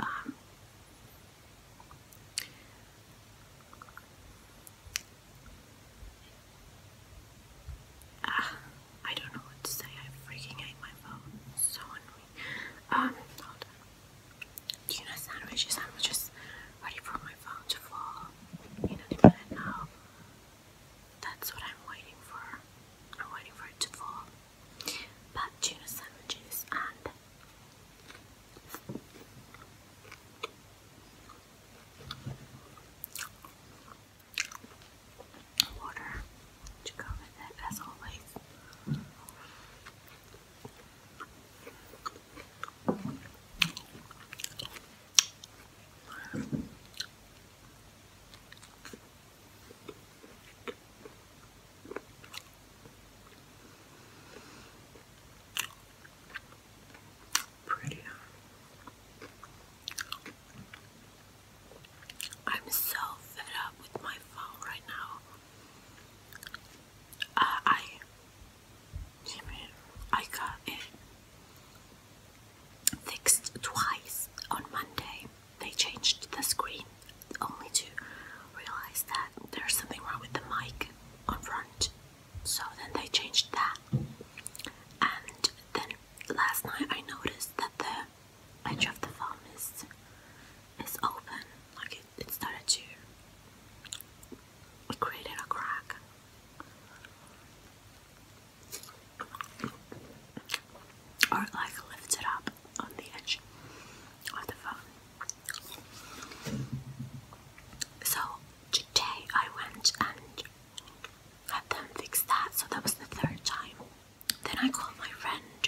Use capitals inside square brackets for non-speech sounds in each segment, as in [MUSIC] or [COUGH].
Um, I don't know what to say. I freaking hate my phone. so annoying. Um, hold you know sandwiches? ready for my phone to fall in a minute now. That's what I'm waiting for. I'm waiting for it to fall but tuna sandwiches and water to go with it as always. Pretty. I'm so fed up with my phone right now. Uh, I, Jimmy, I got it fixed twice on Monday they changed the screen only to realize that there's something wrong with the mic on front. So then they changed that. And then last night I noticed that the edge of the phone is is open. Like it, it started to created a crack or like lift it up on the edge of the phone. So today I went and had them fix that, so that was the third time. Then I called my friend.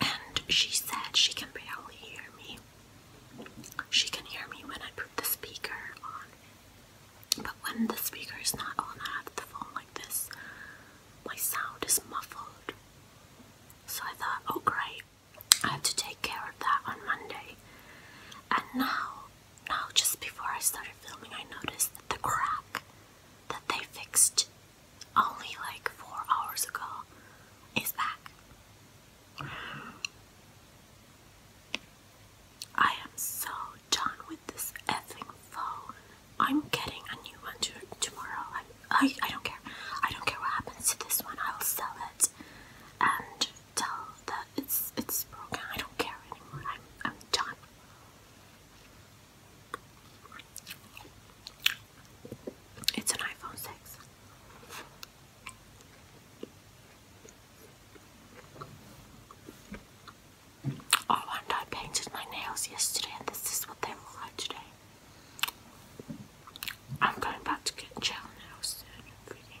And she said she can barely hear me. She can hear me when I put the speaker on, but when the speaker is not on, I have the phone like this. My sound is muffled. So I thought, oh great, I have to take care of that on Monday. And now, now just before I started filming, I noticed that the crack that they fixed only like four hours ago is back. I am so done with this effing phone. I'm getting a new one tomorrow. I, I don't care. I don't care what happens to this one. I'll sell it and tell that it's it's broken. I don't care anymore. I'm I'm done. It's an iPhone 6. Oh, and I painted my nails yesterday, this is what they look like today. I'm going back to get gel now soon everything.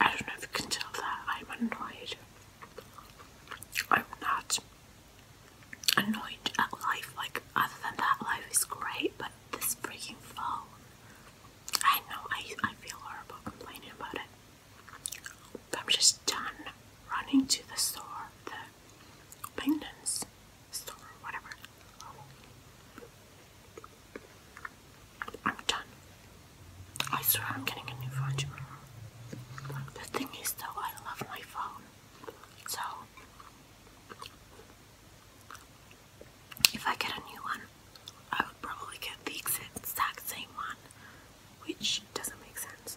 I don't know if you can tell that I'm annoyed. I'm not annoyed at life, like, other than that, life is great, but this freaking fall, I know I, I feel horrible complaining about it. I'm just done running to the store, the Penguins store, whatever. I'm done. I swear I'm getting a new phone The thing is though, I love my phone. So if I get a new one, I would probably get the exact same one, which doesn't make sense.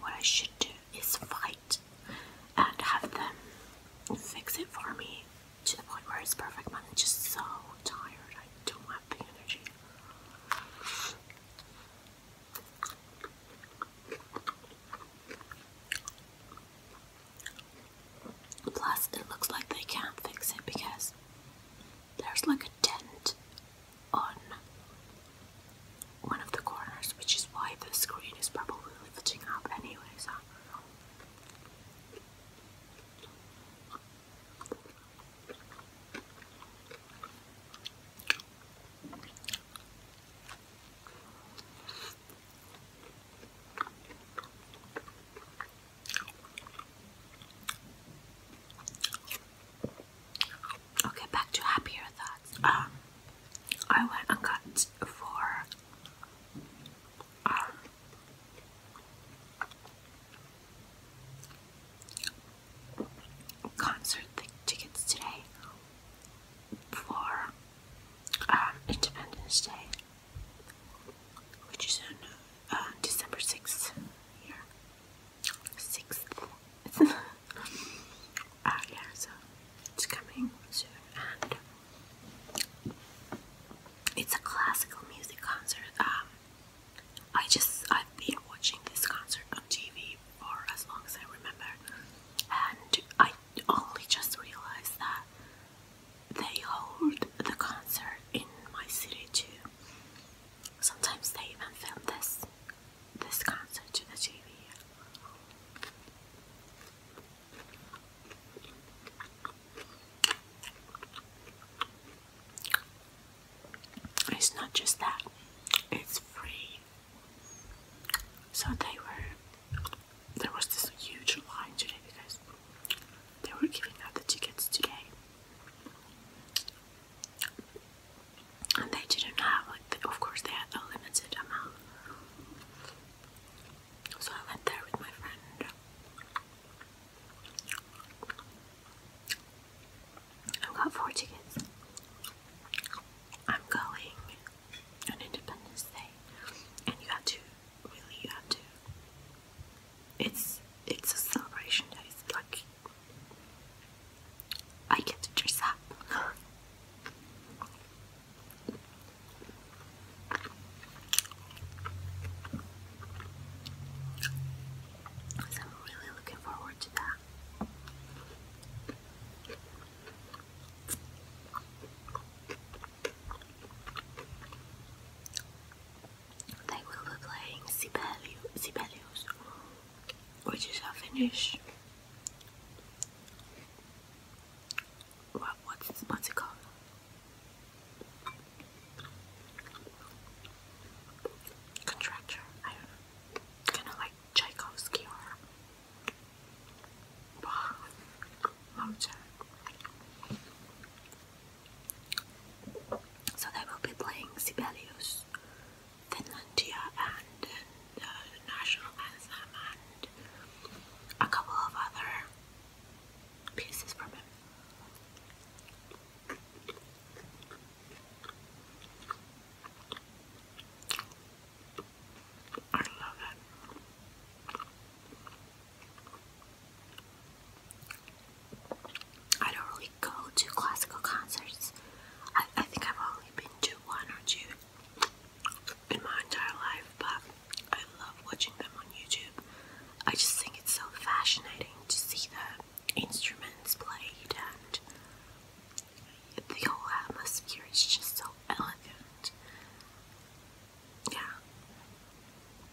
What I should do is fight and have them fix it for me to the point where it's perfect. Man, I'm just so tired. I don't have the energy. Plus, it looks like they can't fix it because there's like a dent on one of the corners, which is why the screen is probably lifting up anyways. Okay, back to happier thoughts. Um, I went and got for um, concert tickets today for um, Independence Day, which is uh, December 6th here sixth. [LAUGHS] Ah, yeah, so it's coming soon, and it's a classical music concert. Um, I just I've been watching this concert on TV for as long as I remember, and I only just realized that they hold the concert in my city too. Sometimes they even film this this concert to the TV. It's not just that, it's free. So they were there was this huge line today because they were giving out the tickets today and they didn't have like of course they had a limited amount so I went there with my friend I've got four tickets I'm going on Independence Day and you have to really you have to it's it's a celebration day. like I get to dress up. So I'm really looking forward to that. They will be playing Sibelius, which is our finish. What, what's, it called? Contractor, I don't know. like Tchaikovsky or Mozart. So they will be playing Sibelius, Finlandia, and uh, national anthem, and a couple of other pieces from him. I love it. I don't really go to classical concerts. I, I think I've only been to one or two in my entire life, but I love watching them on YouTube. I just think it's so fascinating to see the instruments played and the whole atmosphere is just so elegant. Yeah.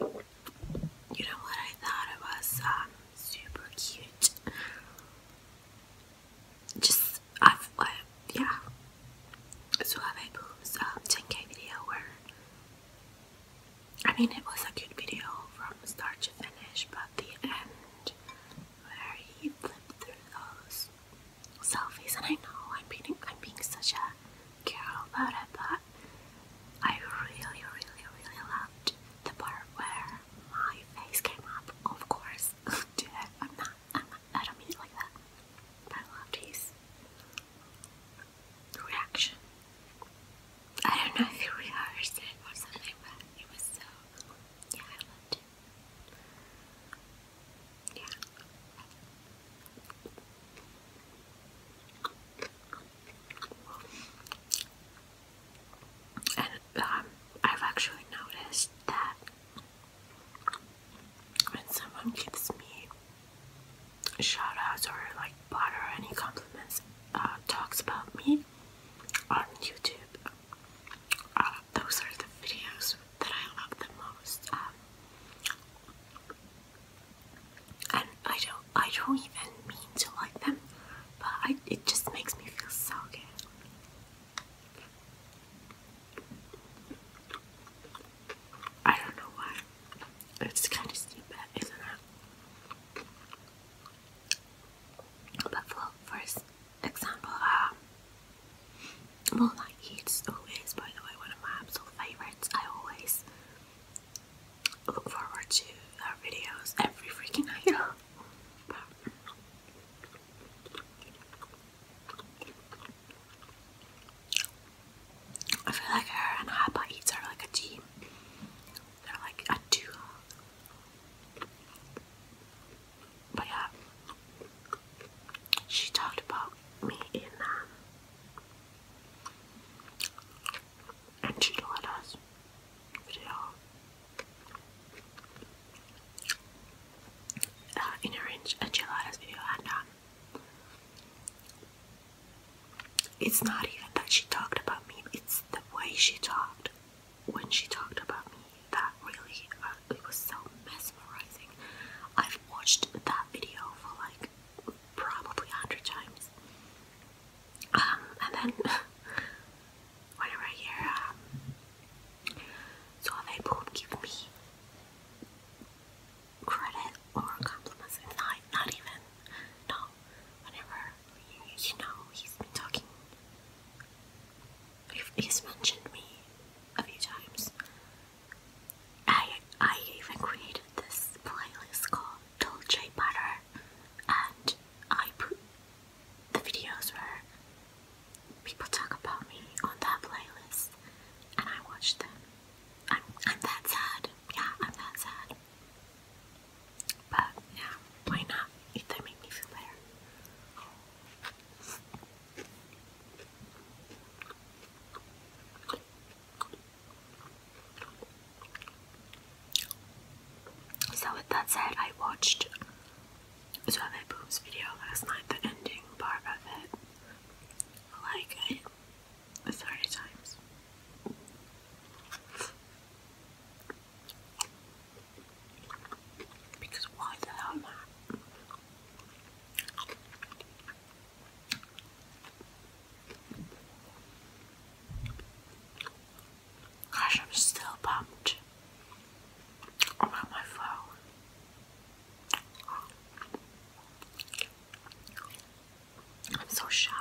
You know what I thought it was um, super cute. Just I've uh, yeah. So have a boobs um video where I mean it was a good video from start to finish, but the end where he flipped through those selfies and I know I'm being I'm being such a girl about it, but I really, really, really loved the part where my face came up. Of course, [LAUGHS] do that. I'm not. I'm not. I don't mean it like that. I loved his reaction. I don't know if he rehearsed it or something, but it was so. Yeah, I loved it. Yeah. And um, I've actually noticed that when someone gives me shout outs or like butter any compliments, uh, talks about me on YouTube, uh, those are the videos that I love the most. Um, and I don't I don't even mean to like them, but I, it just makes me feel so good. I don't know why. It's kind of stupid, isn't it? But for, for example, um, Moonlight Heat's always, by the way, one of my absolute favourites. I always look forward to our videos every freaking night. [LAUGHS] I feel like her and Hapa Eats are like a team. They're like a duo. But yeah, she talked about me in um, and video. Uh, in orange and video and um it's not even that she talked about me it's the way she talked when she talked about me that really uh, it was so mesmerizing i've watched that video for like probably a hundred times. Um, and then [LAUGHS] whenever I hear um, so give me credit or compliments, not not even no. Whenever you know he's been talking, he's mentioned me a few times. I I even created this playlist called Dolce Butter, and I put the videos where people talk about me on that playlist, and I watch them. I'm I'm that sad. Yeah, I'm that sad. But yeah, why not? If they make me feel better. So with that said, I watched Suave Boom's video last night, the ending part of it, like it 30 times. Because why the hell not? Gosh, I'm still pumped about my phone. I'm so shallow.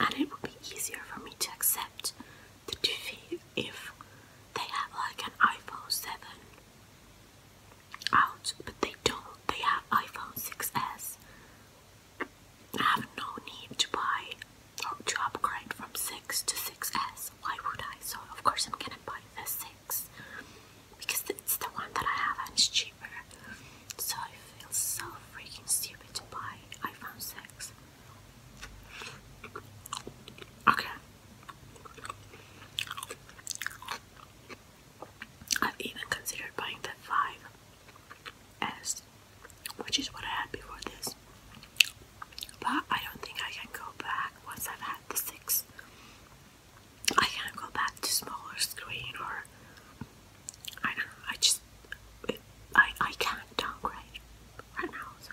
And it would be easier for me to accept the defeat if they have like an iPhone 7 out, but they don't. They have iPhone 6S. I have no need to buy or to upgrade from 6 to 6S. Why would I? So, of course, I'm gonna buy the 6. Next because it's the one that I have and it's cheaper. So I feel so freaking stupid to buy iPhone 6. Okay. I've even considered buying the 5S, which is what I had before this. But I don't think I can go back once I've had the 6. I can't go back to smaller screen or I don't know, I just I I can't downgrade right now so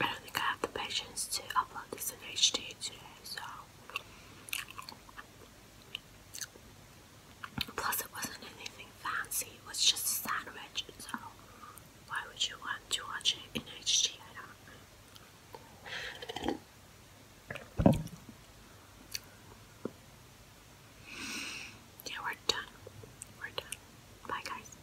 I don't think I have the patience to upload this in HD today, so. Plus, it wasn't anything fancy, it was just a sandwich, so why would you want to watch it in HD? I don't Yeah, we're done. We're done. Bye, guys.